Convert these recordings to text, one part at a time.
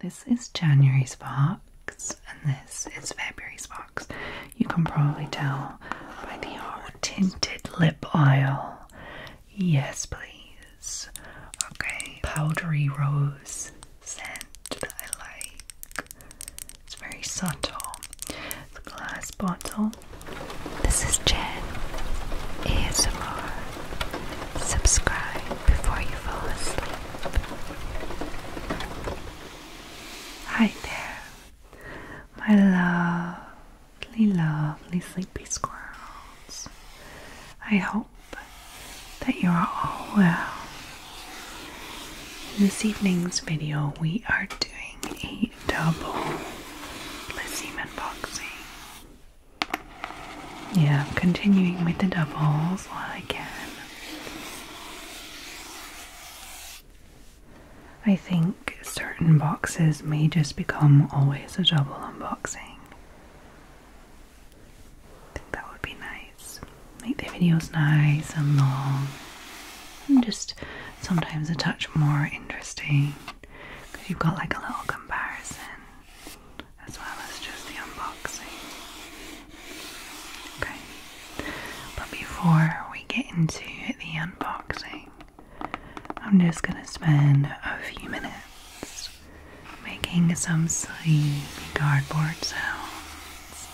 This is January's box and this is February's box. You can probably tell by the old tinted lip oil. Yes, please. Okay, powdery rose scent that I like. It's very subtle. It's a glass bottle. This is Jan. ASMR. Subscribe before you fall asleep. Hi there, my lovely, lovely sleepy squirrels. I hope that you are all well. In this evening's video, we are doing a double Lysim unboxing. Yeah, continuing with the doubles while I can. I think certain boxes may just become always a double unboxing. I think that would be nice. Make the videos nice and long. And just sometimes a touch more interesting because you've got like a little comparison as well as just the unboxing. Okay, but before we get into the unboxing, I'm just going to spend a few minutes making some sleepy cardboard sounds.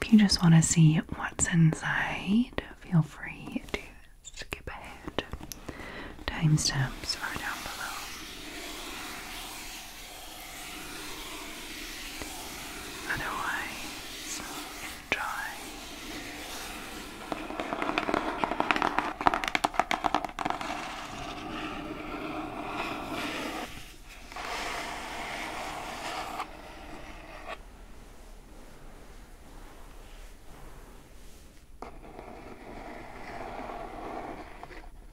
If you just want to see what's inside, feel free to skip ahead. Timestamps are down below. Otherwise, enjoy. Good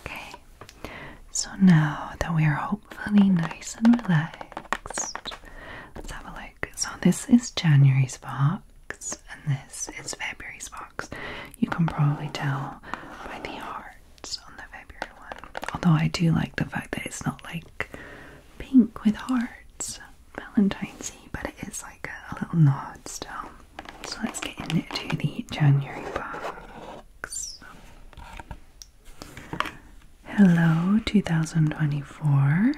Okay, so now that we are hopefully nice and relaxed, let's have a look. So, this is January's box, and this is February's box. You can probably tell by the art. Although I do like the fact that it's not like pink with hearts, Valentine's Eve, but it is like a, little nod still. So let's get into the January box. Hello 2024.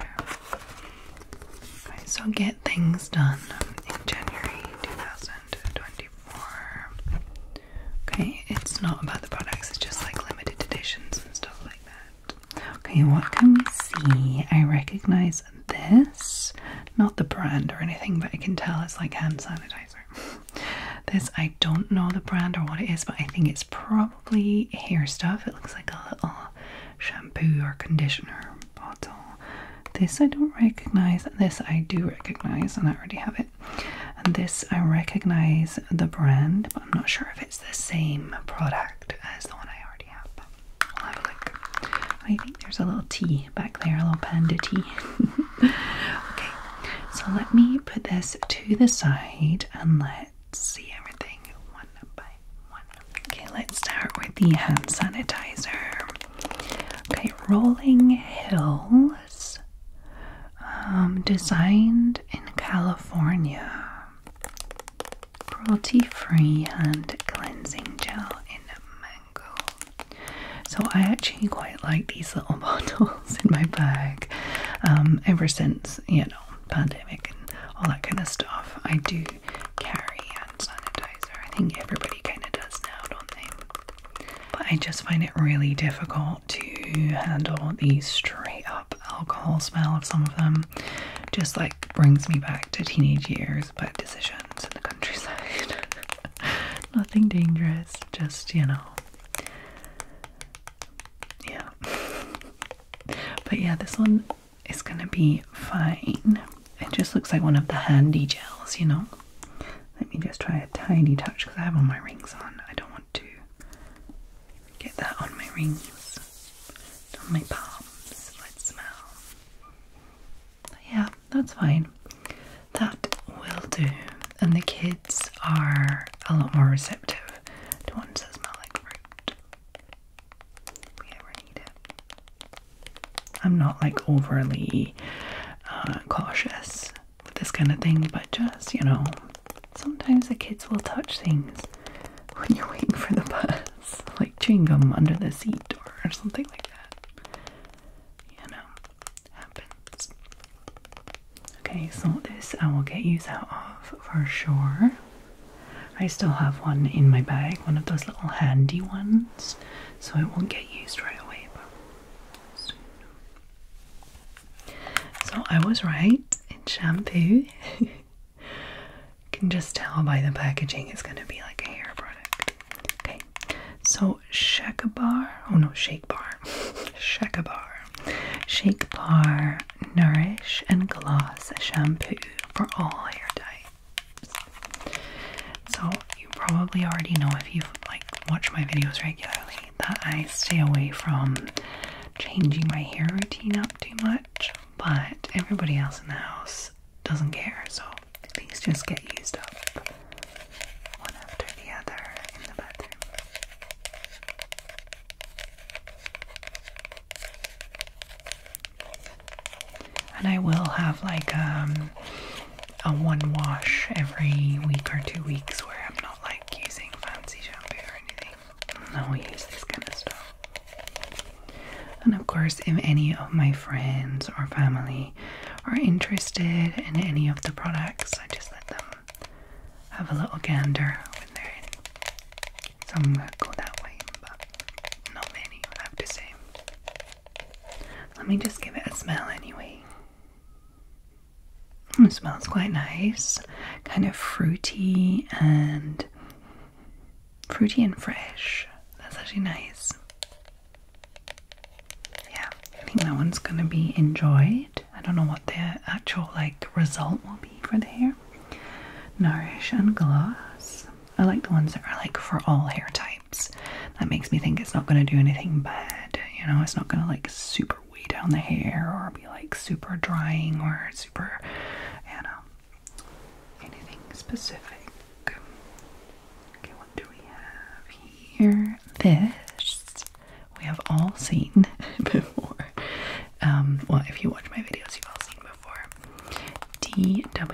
So get things done in January 2024. Okay, it's not about the products, it's just like limited editions and stuff like that. Okay, what can we see? I recognize this, not the brand or anything, but I can tell it's like hand sanitizer. This, I don't know the brand or what it is, but I think it's probably hair stuff. It looks like a little shampoo or conditioner bottle. This I don't recognize. This I do recognize, and I already have it. And this, I recognize the brand, but I'm not sure if it's the same product as the one I already have. But I'll have a look. I think there's a little tea back there, a little panda tea. okay, so let me put this to the side and let's see everything one by one. Okay, let's start with the hand sanitizer. Okay, Rolling Hill um, designed in California. Cruelty free and cleansing gel in mango. So, I actually quite like these little bottles in my bag um, ever since, you know, pandemic and all that kind of stuff. I do carry hand sanitizer. I think everybody kind of does now, don't they? But I just find it really difficult to handle the straight up alcohol smell of some of them. Just like brings me back to teenage years, but decisions in the countryside. Nothing dangerous, just you know. Yeah. But yeah, this one is gonna be fine. It just looks like one of the handy gels, you know? Let me just try a tiny touch because I have all my rings on. I don't want to get that on my rings, on my palms. Let's smell. Yeah, that's fine. That will do. And the kids are a lot more receptive to ones that smell like fruit. we ever need it. I'm not like overly uh, cautious with this kind of thing, but just, you know, sometimes the kids will touch things when you're waiting for the bus, like chewing gum under the seat or something like that. You know, happens. Okay, so this I will get used out of for sure. I still have one in my bag, one of those little handy ones, so it won't get used right away, but so I was right, in shampoo. you can just tell by the packaging it's gonna be like a hair product. Okay, so Shakebar, oh no, Shake Bar, Shake Bar, Shake Bar Nourish and Gloss Shampoo for all hair types. So you probably already know if you've like watched my videos regularly that I stay away from changing my hair routine up too much, but everybody else in the house doesn't care, so things just get used up one after the other in the bathroom. And I will have like um, a one wash every week or two weeks where I'm not like using fancy shampoo or anything. i use this kind of stuff. And of course, if any of my friends or family are interested in any of the products, I just let them have a little gander when they're in. Some go that way, but not many, I have to say. Let me just give it a smell anyway. It smells quite nice, kind of fruity and fruity and fresh. That's actually nice. Yeah, I think that one's gonna be enjoyed. I don't know what the actual like result will be for the hair. Nourish and gloss. I like the ones that are like for all hair types. That makes me think it's not gonna do anything bad. You know, it's not gonna like super way down the hair or be like super drying or super, anything specific. Okay, what do we have here? This we have all seen before. Um, well, if you watch my videos, you've all seen before.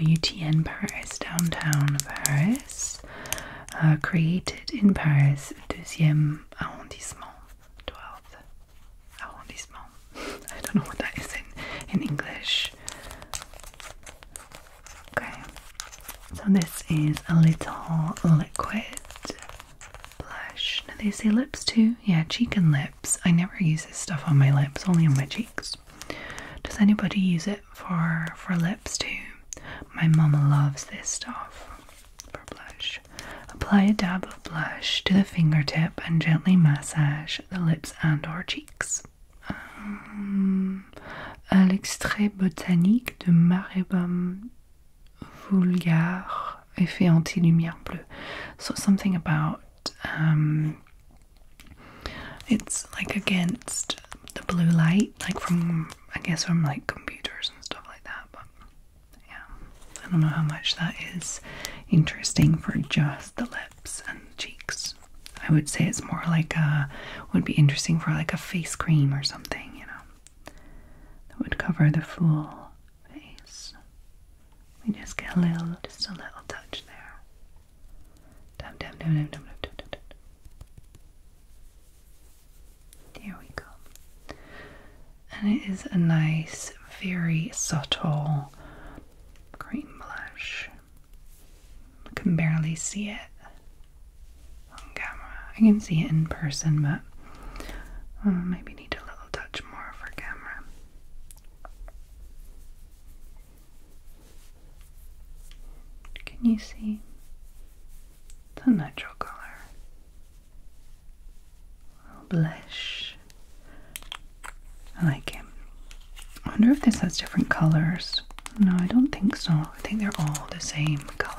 DWTN Paris, downtown Paris, uh, created in Paris, deuxième arrondissement. 12th arrondissement. I don't know what that is in, in English. Okay, so this is a little liquid blush. Now they say lips too. Yeah, cheek and lips. I never use this stuff on my lips, only on my cheeks. Does anybody use it for for lips too? My mama loves this stuff for blush. Apply a dab of blush to the fingertip and gently massage the lips and or cheeks. Um, à botanique de Maribum vulgaire effet anti-lumière bleue. So something about um, it's like against the blue light, like from I guess from like computers and stuff like that. Yeah, I don't know how much that is interesting for just the lips and cheeks. I would say it's more like a would be interesting for like a face cream or something, you know, that would cover the full face. We just get a little, just a little touch there. Dum dum dum dum dum dum dum. dum. There we go. And it is a nice, very subtle cream blush. I can barely see it on camera. I can see it in person, but uh, maybe need a little touch more for camera. Can you see? the natural color. Blush. I like it. I wonder if this has different colors. No, I don't think so. I think they're all the same color.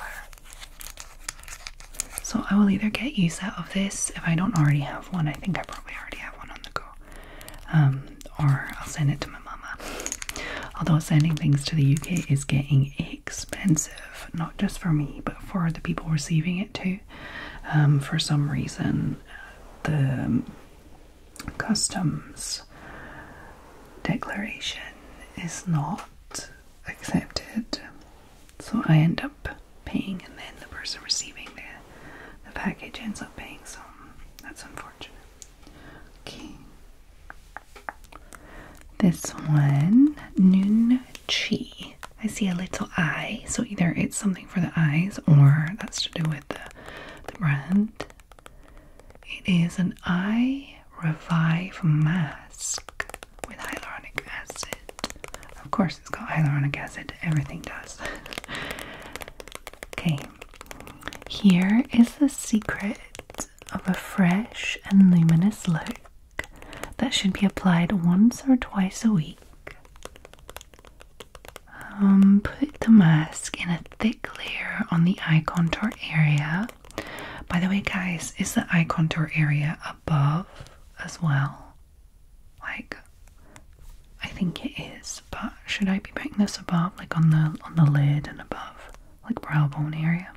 So I will either get use out of this if I don't already have one. I think I probably already have one on the go. Um, or I'll send it to my mama. Although sending things to the UK is getting expensive not just for me, but for the people receiving it too. Um, for some reason, the customs declaration is not accepted, so I end up paying, and then the person receiving the, the package ends up paying, so that's unfortunate. Okay. This one, Noon Chi. I see a little eye, so either it's something for the eyes or that's to do with the, brand. It is an eye revive mask with hyaluronic acid. Of course, it's got hyaluronic acid, everything does. okay, here is the secret of a fresh and luminous look that should be applied once or twice a week. Um, put the mask in a thick layer on the eye contour area. By the way, guys, is the eye contour area above as well? Like, I think it is, but should I be putting this above, like on the on the lid and above, like brow bone area?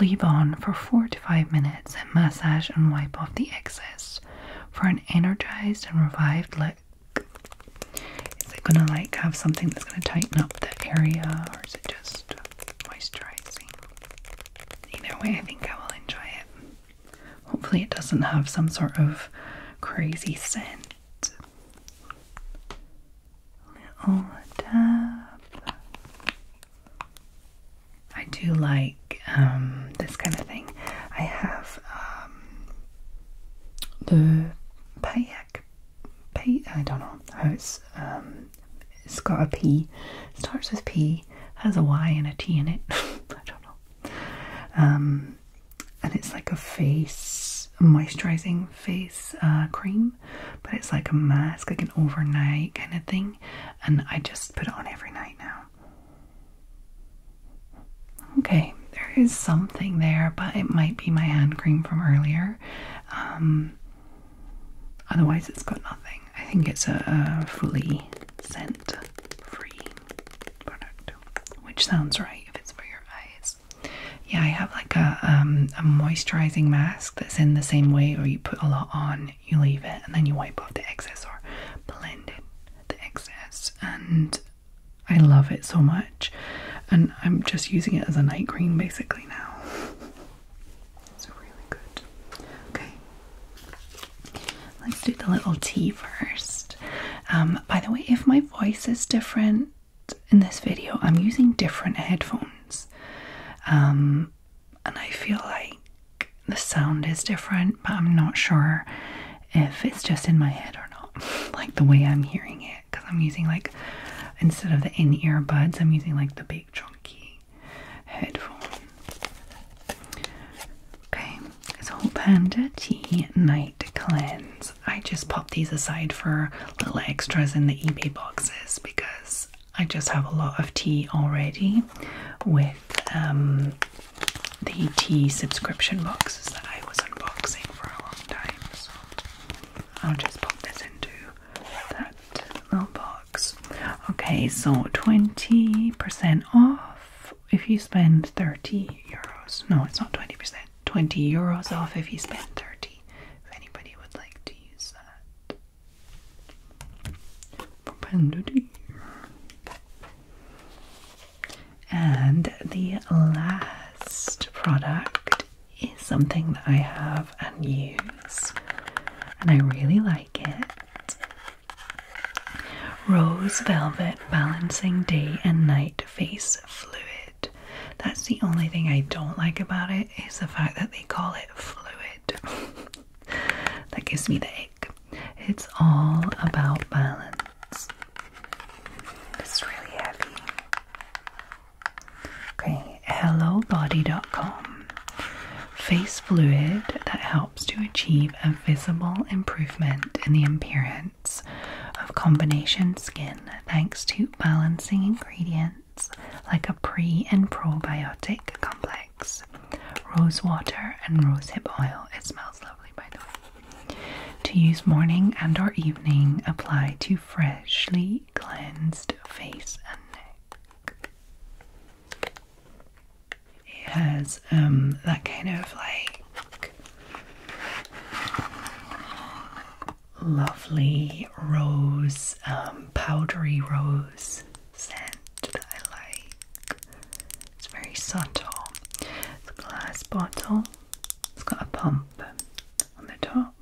Leave on for 4 to 5 minutes and massage and wipe off the excess for an energized and revived look. Is it going to like have something that's going to tighten up the area or is it just moisturizing? Either way, I think I will enjoy it. Hopefully, it doesn't have some sort of crazy scent. Little dab. I do like um, this kind of thing. I have um, the Payak. Pay, I don't know how it's. Um, it's got a P. Starts with P. Has a Y and a T in it. I don't know. and it's like a face moisturizing face uh, cream, but it's like a mask, like an overnight kind of thing and I just put it on every night now. Okay, there is something there, but it might be my hand cream from earlier. Um, otherwise, it's got nothing. I think it's a, fully scent free product, which sounds right if it's for your eyes. Yeah, I have like a um, moisturizing mask that's in the same way, or you put a lot on you leave it and then you wipe off the excess or blend in the excess and I love it so much and I'm just using it as a night cream basically now. It's really good. Okay. Let's do the little T first. Um, by the way, if my voice is different in this video, I'm using different headphones. Um, and I feel like the sound is different, but I'm not sure if it's just in my head or not, like the way I'm hearing it, because I'm using like instead of the in ear buds, I'm using like the big chunky headphone. Okay, it's so Panda Tea Night Cleanse. I just pop these aside for little extras in the eBay boxes because I just have a lot of tea already with um, the tea subscription boxes that I was unboxing for a long time. So I'll just pop this into that little box. Okay, so 20% off if you spend 30 euros. No, it's not 20%. 20 euros off if you spend 30. If anybody would like to use that. And the last product is something that I have and use, and I really like it. Rose Velvet Balancing Day and Night Face Fluid. That's the only thing I don't like about it is the fact that they call it fluid. that gives me the ache. It's all about balance. It's really heavy. Okay, HelloBody.com. Face fluid that helps to achieve a visible improvement in the appearance of combination skin thanks to balancing ingredients like a pre and probiotic complex rose water, and rosehip oil. It smells lovely, by the way. To use morning and or evening, apply to freshly cleansed face and neck. It has um, that kind of like lovely rose, um, powdery rose scent that I like. It's very subtle. It's a glass bottle. It's got a pump on the top.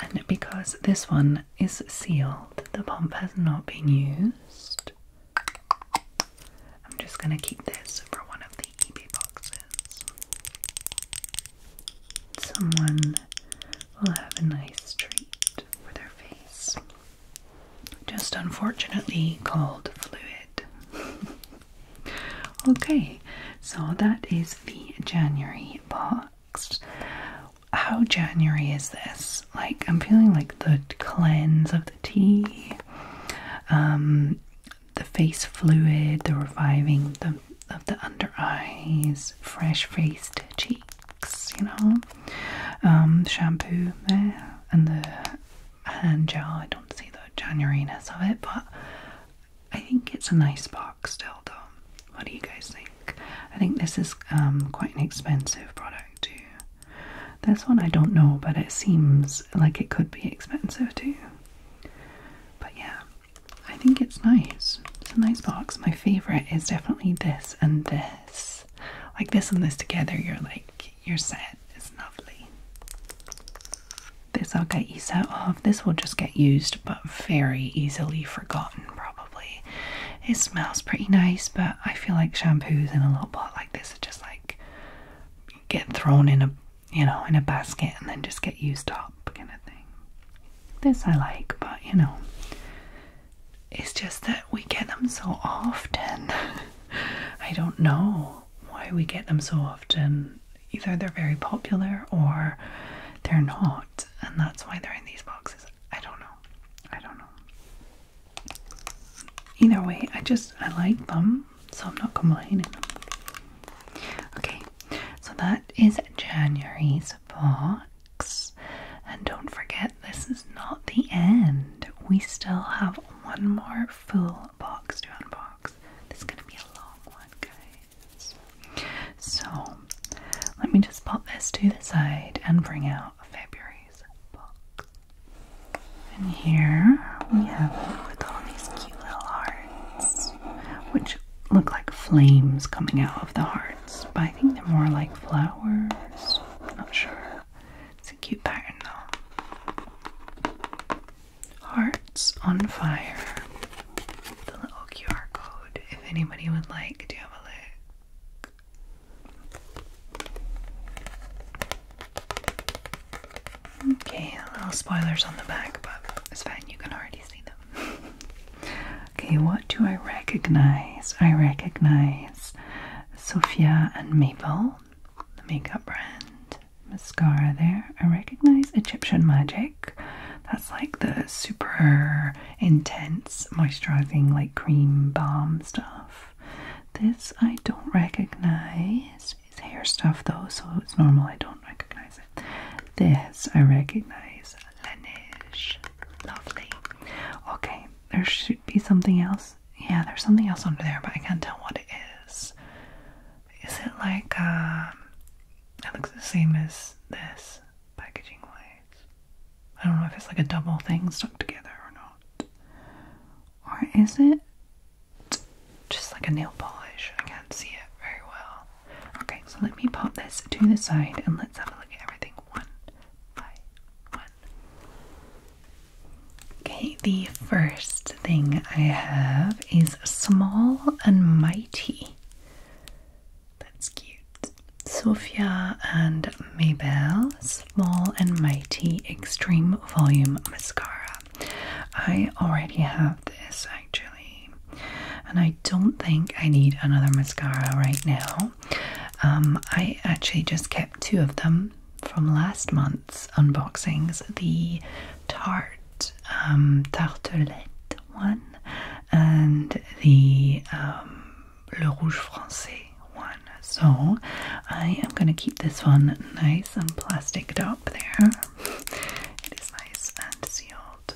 And because this one is sealed, the pump has not been used. I'm just going to keep this for one of the eBay boxes. Someone we will have a nice treat for their face. Just unfortunately called fluid. okay, so that is the January box. How January is this? Like, I'm feeling like the cleanse of the tea, um, the face fluid, the reviving the, of the under eyes, fresh faced cheeks you know. Um, shampoo there and the hand gel. I don't see the Januariness of it, but I think it's a nice box still, though. What do you guys think? I think this is um, quite an expensive product, too. This one I don't know, but it seems like it could be expensive, too. But yeah, I think it's nice. It's a nice box. My favorite is definitely this and this like this and this together you're like you're set it's lovely this I'll get you set off this will just get used but very easily forgotten probably it smells pretty nice but I feel like shampoos in a little pot like this are just like get thrown in a you know in a basket and then just get used up kind of thing this I like but you know it's just that we get them so often. I don't know why we get them so often. Either they're very popular or they're not, and that's why they're in these boxes. I don't know. I don't know. Either way, I just I like them, so I'm not complaining. Okay, so that is January's pot. And don't forget, this is not the end. We still have one more full box to unbox. This is gonna be a long one, guys. So, let me just pop this to the side and bring out February's box. And here we have it with all these cute little hearts, which look like flames coming out of the hearts, but I think they're more like flowers. Not sure. It's a cute pattern though. Hearts on fire. The little QR code. If anybody would like to have a look. Okay, little spoilers on the back, but it's fine. You can already see them. Okay, what do I recognize? I recognize Sophia and Mabel, the makeup brand, mascara there. I recognize Egyptian Magic. That's like the super intense moisturizing, like cream bomb stuff. This I don't recognize. Is hair stuff though, so it's normal I don't recognize it. This I recognize. Laneige. Lovely. Okay, there should be something else. Yeah, there's something else under there, but I can't tell what it is. Is it like, um, it looks the same as this packaging wise? I don't know if it's like a double thing stuck together or not. Or is it just like a nail polish? I can't see it very well. Okay, so let me pop this to the side and let's have a look at everything one by one. Okay, the first thing I have is Small and Mighty. That's cute. Sophia and Maybelle Small and Mighty Extreme Volume Mascara. I already have this actually, and I don't think I need another mascara right now. Um, I actually just kept two of them from last month's unboxings the tart um, tartelette one and the um, le rouge français one. So I am going to keep this one nice and plastic top there. It is nice and sealed.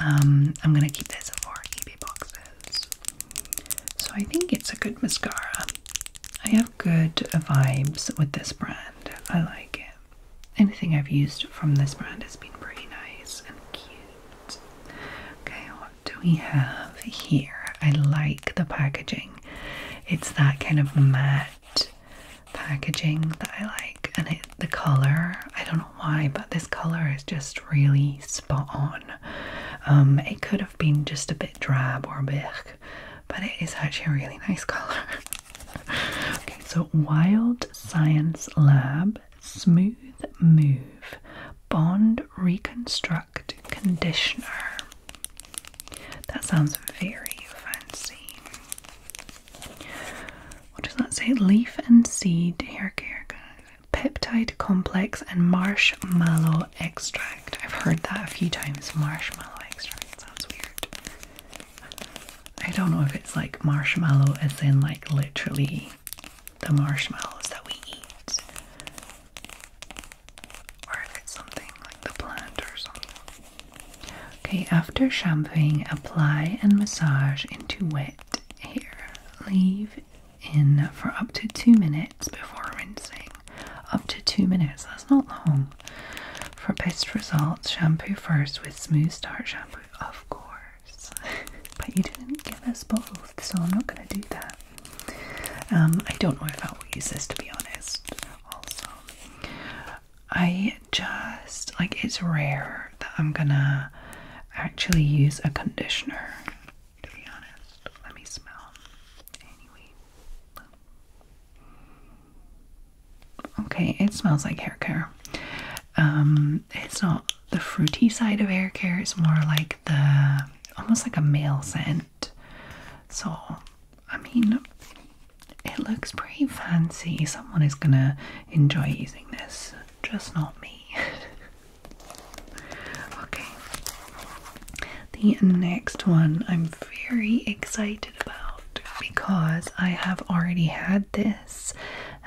Um, I'm going to keep this for eBay boxes. So I think it's a good mascara. I have good vibes with this brand. I like it. Anything I've used from this brand has been pretty nice and cute. Okay, what do we have here? I like the packaging. It's that kind of matte packaging that I like, and the color, I don't know why, but this color is just really spot on. Um, it could been just a bit drab or big, but it is actually a really nice color. okay, so Wild Science Lab Smooth Move Bond Reconstruct Conditioner. That sounds very fancy. What does that say? Leaf and seed hair care peptide complex, and marshmallow extract. I've heard that a few times. Marshmallow extract sounds weird. I don't know if it's like marshmallow as in like literally the marshmallows that we eat, or if it's something like the plant or something. Okay, after shampooing, apply and massage into wet hair. Leave in for up to two minutes before rinsing. Up to two minutes, that's not long. For best results, shampoo first with Smooth Start shampoo, of course. but you didn't give us both, so I'm not going to do that. Um, I don't know if I will use this to be honest, also. I just like it's rare that I'm gonna actually use a conditioner to be honest. Let me smell. Anyway. Okay, it smells like hair care. Um, it's not the fruity side of hair care, it's more like the almost like a male scent. So, I mean, it looks pretty fancy. Someone is gonna enjoy using this, just not me. Okay, the next one I'm very excited about because I have already had this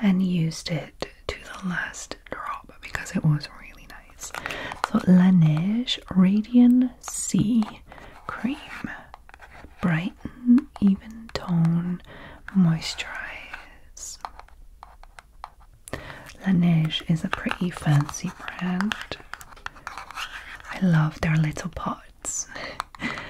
and used it to the last drop because it was really nice. So, Laneige Radiant C Cream Brighten Even Tone Moisturize. Laneige is a pretty fancy brand. I love their little pots.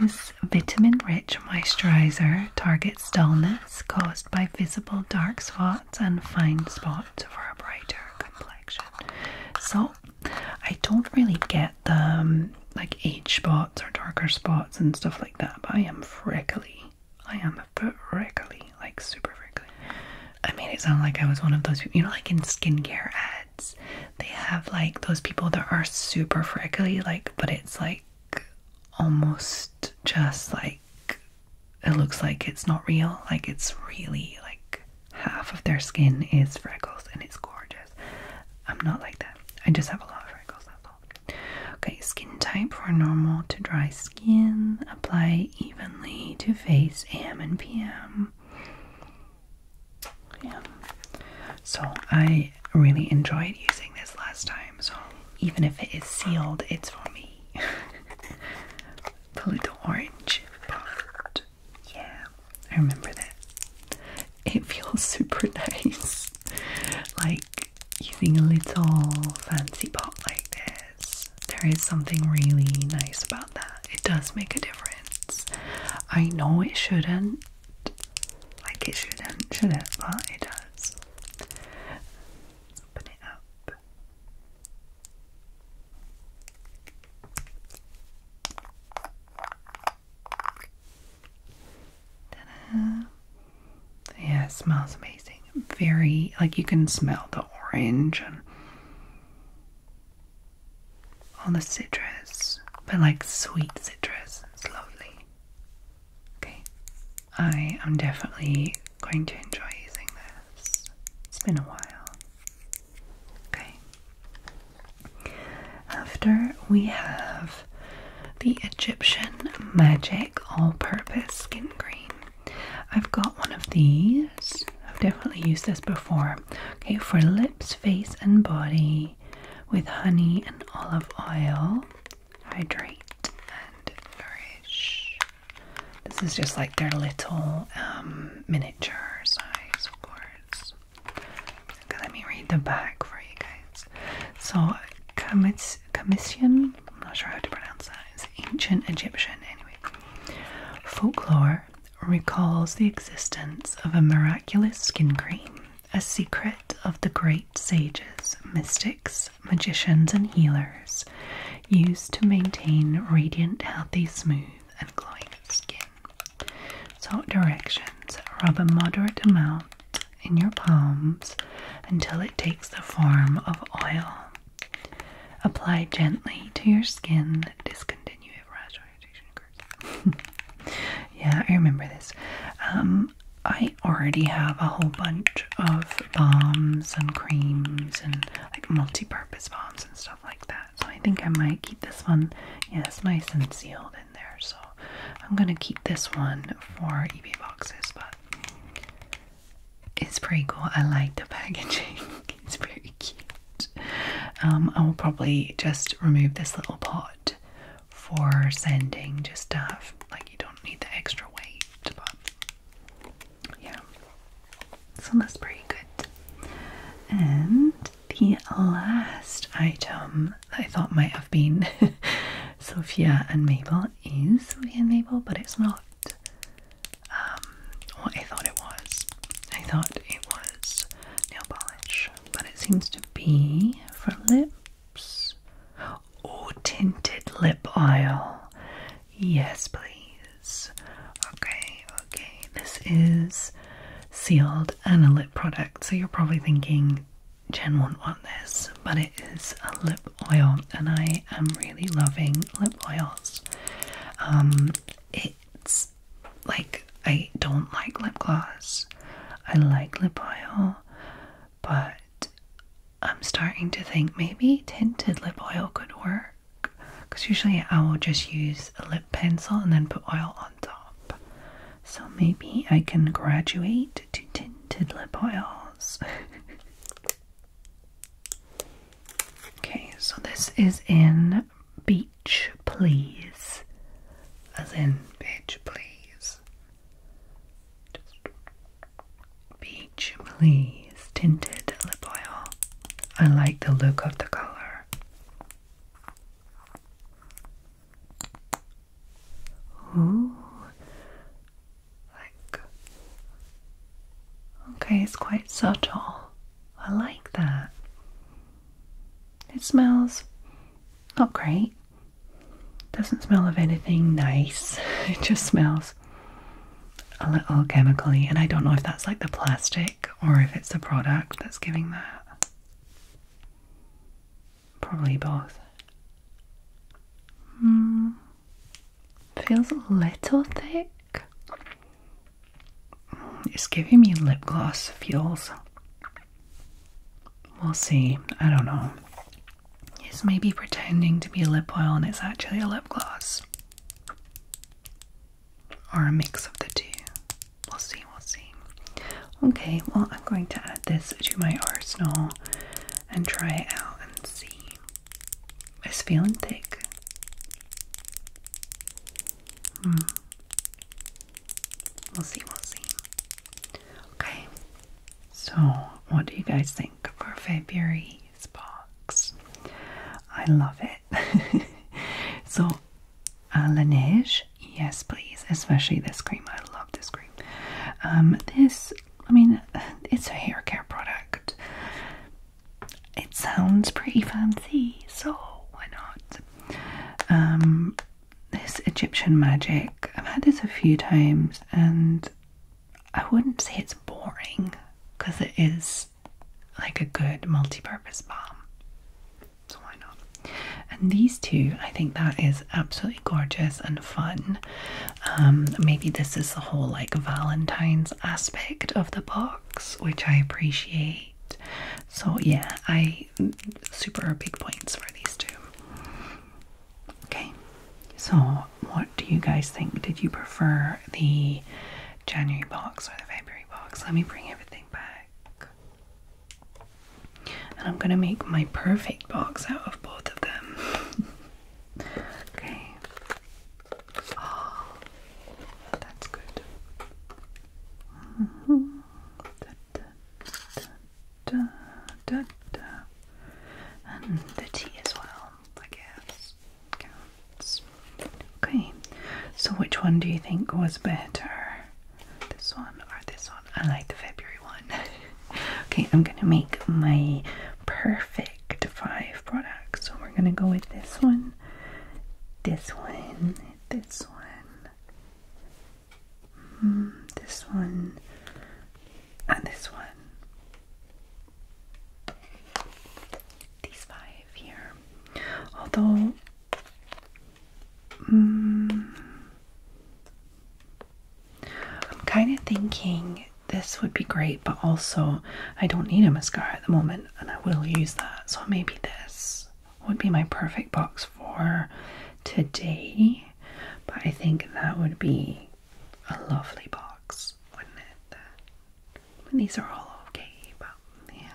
this vitamin rich moisturizer targets dullness caused by visible dark spots and fine spots for a brighter complexion. So, I don't really get the um, like age spots or darker spots and stuff like that, but I am freckly. I am but regularly, like super regularly. I made it sound like I was one of those people, you know, like in skincare ads, they have like those people that are super freckly, like, but it's like almost just like it looks like it's not real, like, it's really like half of their skin is freckles and it's gorgeous. I'm not like that, I just have a lot of freckles, Okay, skin type for normal to dry skin apply evenly to face AM and PM. Yeah. So I really enjoyed using this last time, so even if it is sealed, it's for me. Little Orange pot. Yeah, I remember that. It feels super nice. like using a little fancy pot like this there is something really nice about that. It does make a difference. I know it shouldn't. Like it shouldn't, should it? But it does. Open it up. ta Yeah, it smells amazing very like you can smell the orange and all the citrus, but like sweet citrus. It's lovely. Okay, I am definitely going to enjoy using this. It's been a while. Okay. After we have the Egyptian Magic All Purpose Skin Cream. I've got one of these. I've definitely used this before. Okay, for lips, face, and body with honey and olive oil. Hydrate and nourish. This is just like their little um, miniature size, of course. Okay, let me read the back for you guys. So, commis commission I'm not sure how to pronounce that. It's ancient Egyptian, anyway. Folklore recalls the existence of a miraculous skin cream, a secret of the great sages, mystics, magicians, and healers, used to maintain radiant, healthy, smooth, and glowing skin. Salt directions rub a moderate amount in your palms until it takes the form of oil. Apply gently to your skin. Discontinue if rash or irritation occurs. yeah, I remember this. Um, I already have a whole bunch of balms and creams and like multi-purpose balms and stuff like that. So I think I might keep this one. Yeah, it's nice and sealed in there. So I'm gonna keep this one for eBay boxes, but it's pretty cool. I like the packaging. it's very cute. Um, I will probably just remove this little pot for sending. just stuff like you don't need the extra weight. But yeah, so that's pretty good. And the last item I thought might have been Sophia and Mabel is Sophia and Mabel, but it's not um, I thought it was. I thought it was nail polish, but it seems to be for lips. or tinted lip oil. Yes, please. Okay, okay. This is sealed and a lip product, so you're probably thinking Jen won't want this, but it is a lip oil, and I I am really loving lip oils. Um, it's like I don't like lip gloss. I like lip oil, but I'm starting to think maybe tinted lip oil could work because usually I will just use a lip pencil and then put oil on top. So maybe I can graduate to tinted lip oils. Okay, so this is in Beach Please. As in Beach Please. Just Beach Please tinted lip oil. I like the look of the color. Ooh, like Okay, it's quite subtle. I like that. It smells not great. Doesn't smell of anything nice. It just smells a little chemically, and I don't know if that's like the plastic or if it's the product that's giving that. Probably both. Mm. Feels a little thick. It's giving me lip gloss feels. We'll see. I don't know. It's maybe pretending to be a lip oil and it's actually a lip gloss. Or a mix of the two. We'll see, we'll see. Okay, well, I'm going to add this to my arsenal and try it out and see. It's feeling thick. Hmm. We'll see, we'll see. Okay. So, what do you guys think for February's box? I love it. so, uh, La Neige, yes, please. Especially this cream. I love this cream. Um, this, I mean, it's a hair care product it sounds pretty fancy, so why not? Um, this Egyptian magic, I've had this a few times, and I wouldn't say it's boring because it is like a good multi purpose balm. So, why not? And these two, I think that is absolutely gorgeous and fun. Um, maybe this is the whole like Valentine's aspect of the box which I appreciate. So, yeah, I super big points for these two. Okay, so what do you guys think? Did you prefer the January box or the February box? Let me bring everything back. And I'm gonna make my perfect box out of both of them. okay, Ah, that's good. Mm-hmm. And the tea as well, I guess. Okay, so which one do you think was better? This one or this one? I like the February one. okay, I'm gonna make my perfect five products. So we're gonna go with this one one, this one, this one, mm, this one, and this one. These five here. Although, mm, I'm kind of thinking this would be great, but also I don't need a mascara at the moment and I will use that. So maybe this would be my perfect box for today, but I think that would be a lovely box, wouldn't it? And these are all okay, but yeah,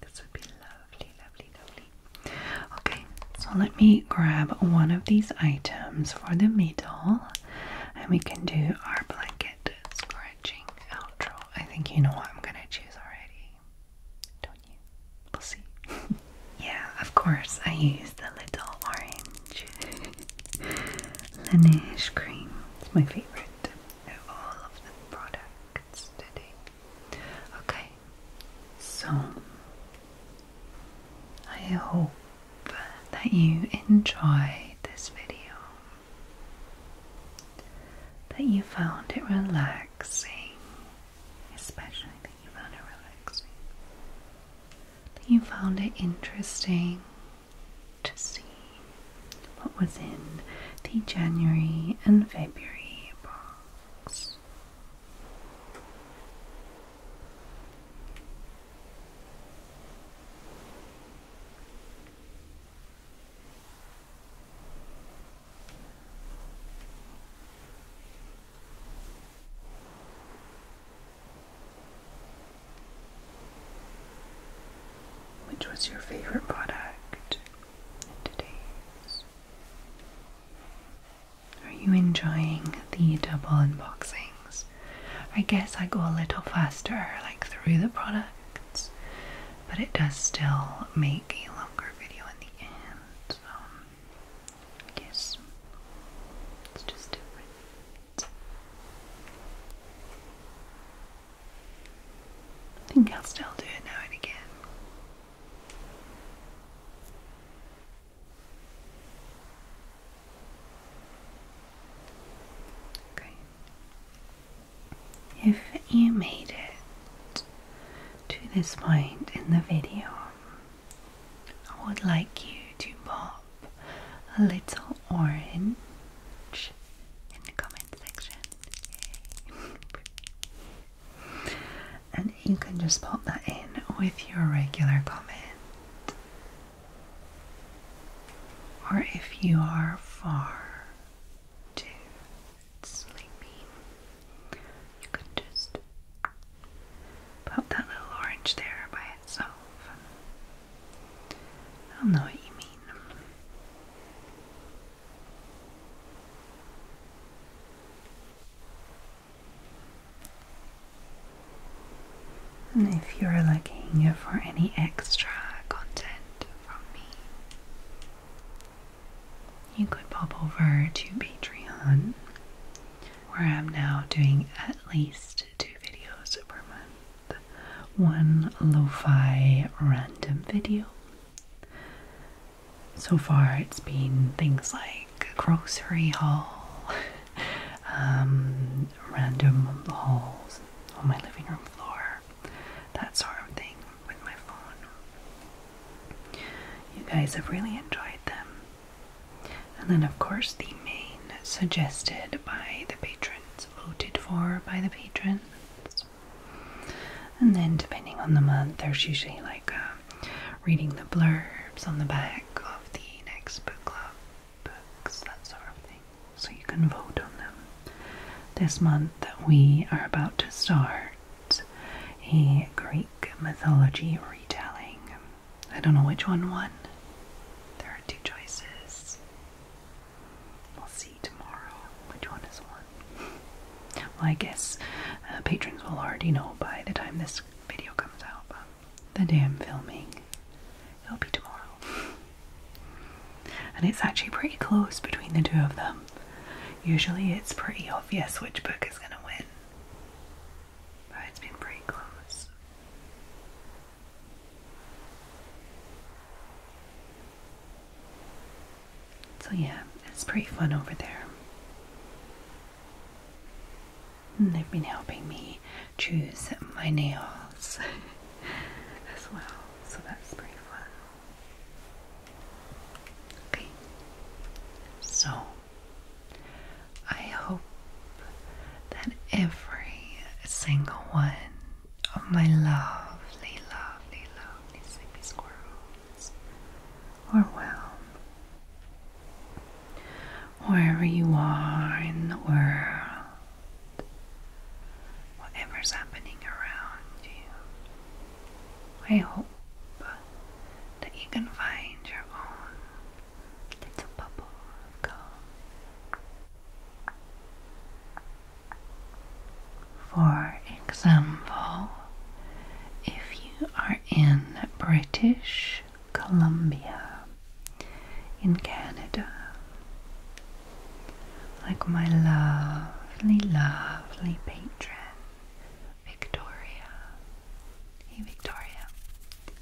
this would be lovely, lovely, lovely. Okay, so let me grab one of these items for the middle, and we can do our blanket square outro. I think you know what I'm gonna choose already. Don't you? We'll see. yeah, of course, I use the little orange Laneige cream. It's my favorite of all of the products today. Okay, so I hope that you enjoyed this video that you found it relaxing, especially that you found it relaxing, that you found it interesting to see what was in the January and February box. Which was your favorite product in Are you enjoying the double unboxings? I guess I go a little faster, like through the products, but it does still make a longer video in the end. I guess it's just different. I think I'll still do it now and again. Okay if you made it to this point in the video, I would like you to pop a little orange in the comment section. and you can just pop that in with your regular comment. Or if you are far too sleepy, you can just pop that little orange there by itself. I do know what you mean. And if you're looking for any extra content from me. You could pop over to Patreon, where I'm now doing at least two videos per month one lo fi random video. So far, it's been things like grocery haul, um, random hauls on my living room floor, or that sort of thing with my phone. You guys have really enjoyed them. And then, of course, the main suggested by the patrons, voted for by the patrons. And then, depending on the month, there's usually like uh, reading the blurbs on the back of the next book club books, that sort of thing so you can vote on them. This month, we are about to start a Greek mythology retelling. I don't know which one won. There are two choices. We'll see tomorrow which one is one. Well, I guess uh, patrons will already know by the time this video comes out, the day I'm filming, it'll be tomorrow. And it's actually pretty close between the two of them. Usually it's pretty obvious which book is going to win, but it's been pretty close. So, yeah, it's pretty fun over there. they've been helping me choose my nails as well, so that's pretty fun. Okay, so I hope that every single one of my lovely, lovely, lovely sleepy squirrels are well. Wherever you are in the world, whatever's happening around you. I hope that you can find your own little bubble For example, if you are in British Columbia in Canada, like my lovely, lovely patron, Victoria. Hey, Victoria,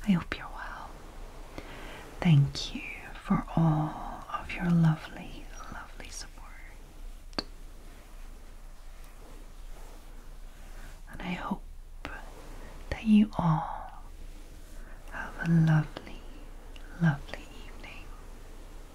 I hope you're well. Thank you for all of your lovely, lovely support. And I hope that you all have a lovely, lovely evening